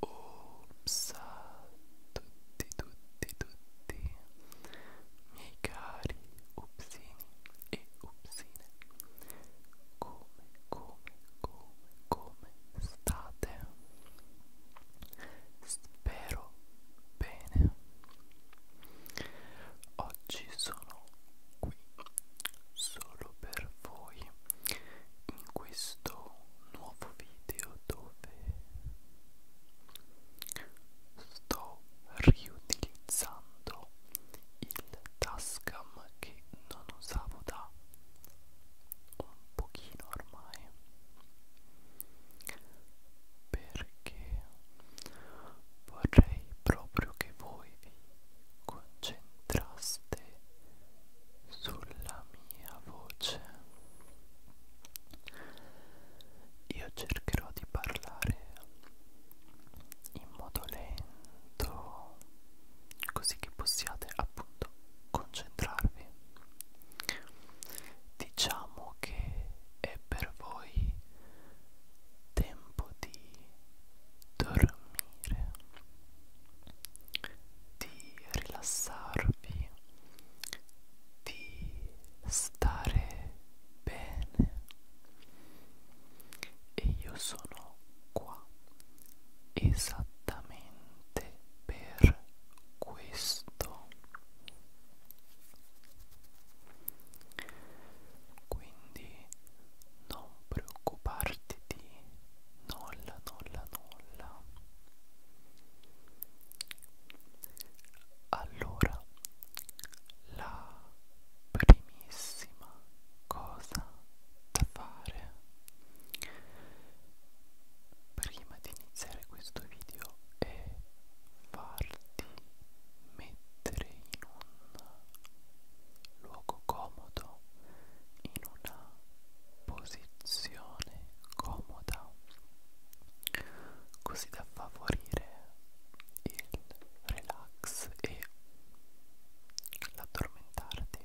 Opsa tutti tutti tutti miei cari upsini e upsine come come come come state Spero bene. Oggi sono qui solo per voi in questo nuovo video dove sto riutilizzando il Tascam che non usavo da un pochino ormai perché vorrei proprio che voi vi concentraste sulla mia voce io cercherò di parlare in modo lento così che possiate appunto concentrarvi diciamo che è per voi tempo di dormire di rilassarvi di stare bene e io sono qua esattamente per questo quindi non preoccuparti di nulla nulla nulla allora la primissima cosa da fare prima di iniziare questo video è farti mettere in un luogo comodo, in una posizione comoda, così da favorire il relax e l'addormentarti.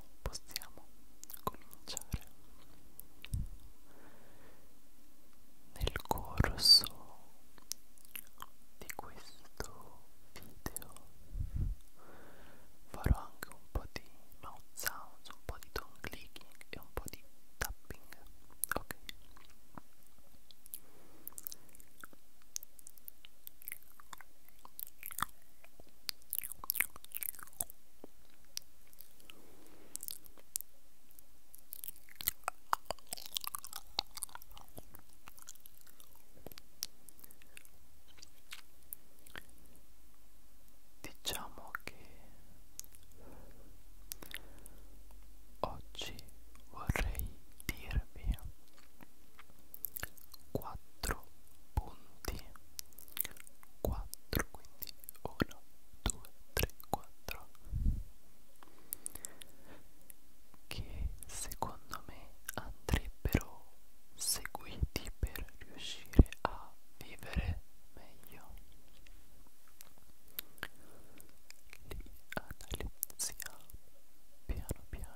Wow, possiamo cominciare. Nel corso di questo video farò anche un po' di mouth sounds, un po' di tongue clicking e un po' di tapping. Ok. Diciamo che oggi vorrei dirvi 4 punti 4 quindi 1 2 3 4 che secondo me andrebbero seguiti per riuscire a vivere meglio li analizziamo piano piano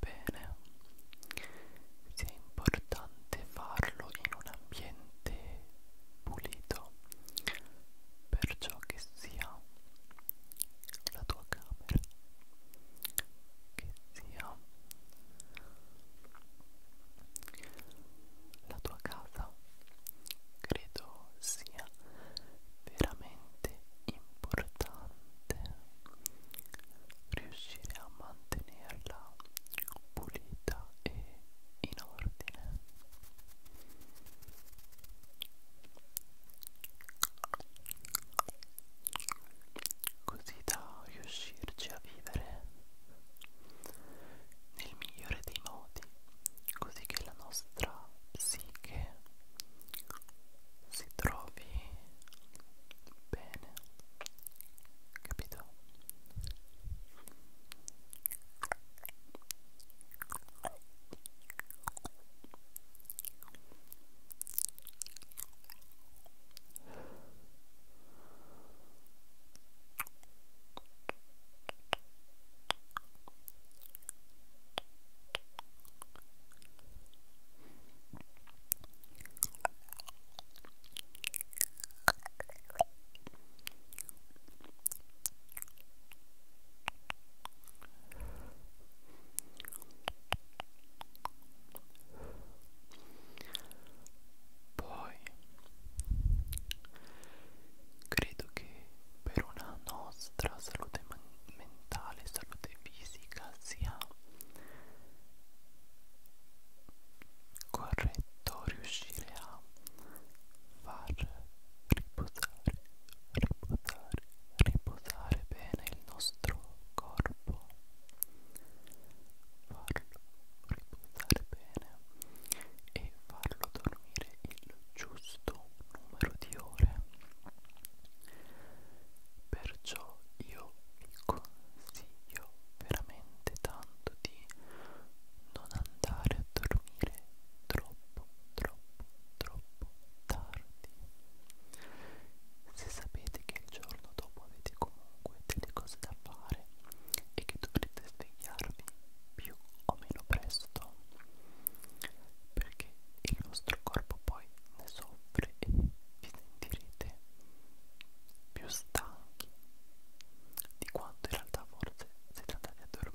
bene sia importante farlo in un ambiente pulito perciò che sia la tua camera che sia la tua casa credo sia veramente importante importante riuscire a mantenerla pulita e in ordine così da riuscirci a vivere nel migliore dei modi così che la nostra psiche si trovi bene capito poi credo che per una nostra salute mentale, salute fisica sia corretto riuscire a far riposare, riposare, riposare bene il nostro corpo, farlo riposare bene e farlo dormire il giusto numero di ore. Perciò io vi consiglio veramente tanto di non andare a dormire troppo troppo troppo tardi se sapete che il giorno dopo avete comunque delle cose da fare e che dovrete svegliarvi più o meno presto perché il nostro corpo poi ne soffre sempre e vi sentirete più stanchi di quanto in realtà forse siete andati a dormire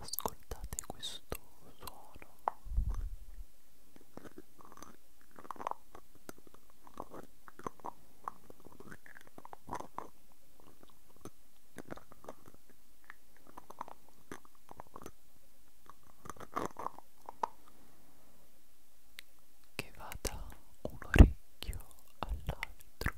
Ascoltate questo suono che va da un orecchio all'altro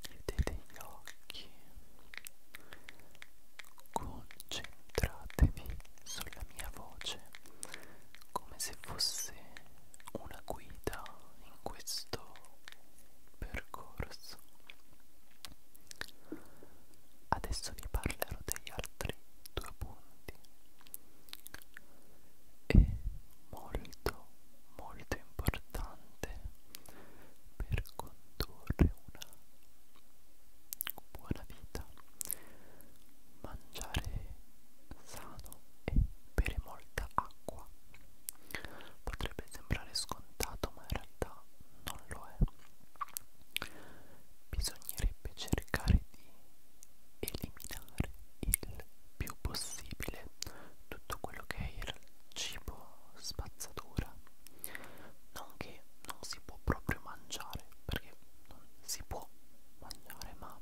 chiudete gli occhi Concentratevi sulla mia voce come se fosse una guida in questo percorso. Adesso vi parlerò degli altri due punti. È molto molto importante per condurre una buona vita mangiare sano e bere molta acqua potrebbe sembrare scontato ma in realtà non lo è bisognerebbe cercare di eliminare il più possibile tutto quello che è il cibo spazzatura non che non si può proprio mangiare perché non si può mangiare ma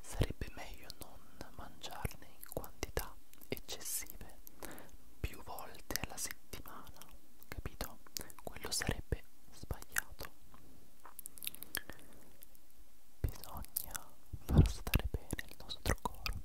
sarebbe meglio non mangiarne in quantità eccessive più volte alla settimana capito quello sarebbe sbagliato bisogna far stare bene il nostro corpo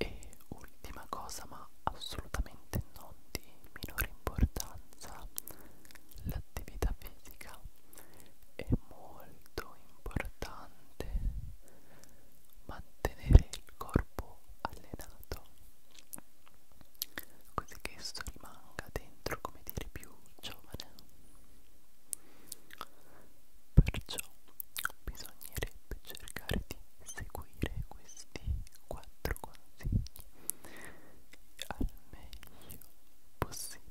E ultima cosa, ma assolutamente non di minore importanza, l'attività fisica è molto importante mantenere il corpo allenato così che esso rimanga dentro come dire più giovane Perciò bisognerebbe cercare di seguire questi quattro consigli al meglio possibile.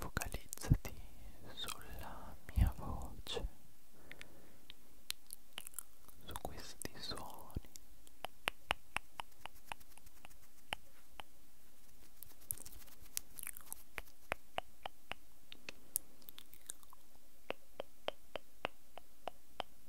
Focalizzati sulla mia voce, su questi suoni.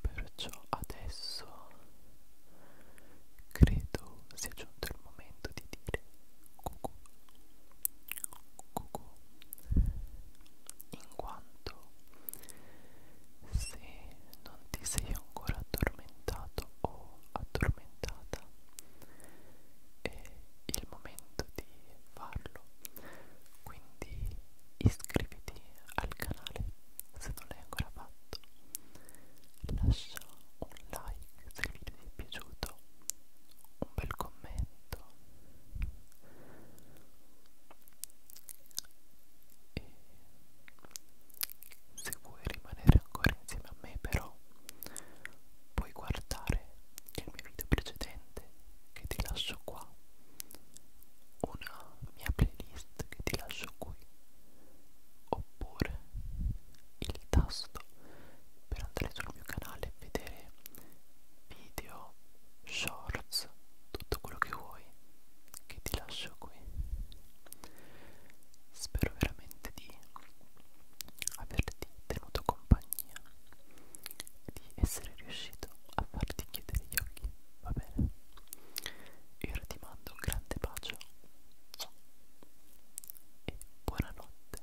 Perciò adesso credo sia giunto il momento di dire cucù, cucù, in quanto se non ti sei ancora addormentato o addormentata è il momento di di farlo quindi iscriviti al canale se non l'hai ancora fatto lascia un like se il video ti è piaciuto un bel commento e se vuoi rimanere ancora insieme a me però puoi guardare nel mio video precedente che ti lascio qua una mia playlist che ti lascio qui oppure il tasto per andare sul mio canale e vedere video shorts tutto quello che vuoi che ti lascio qui spero veramente di averti tenuto compagnia di essere riuscito a farti chiudere gli occhi, va bene? Io ora ti mando un grande bacio e buonanotte,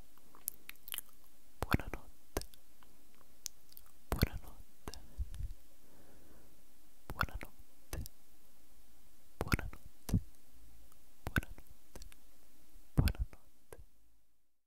buonanotte, buonanotte, buonanotte, buonanotte, buonanotte, buonanotte.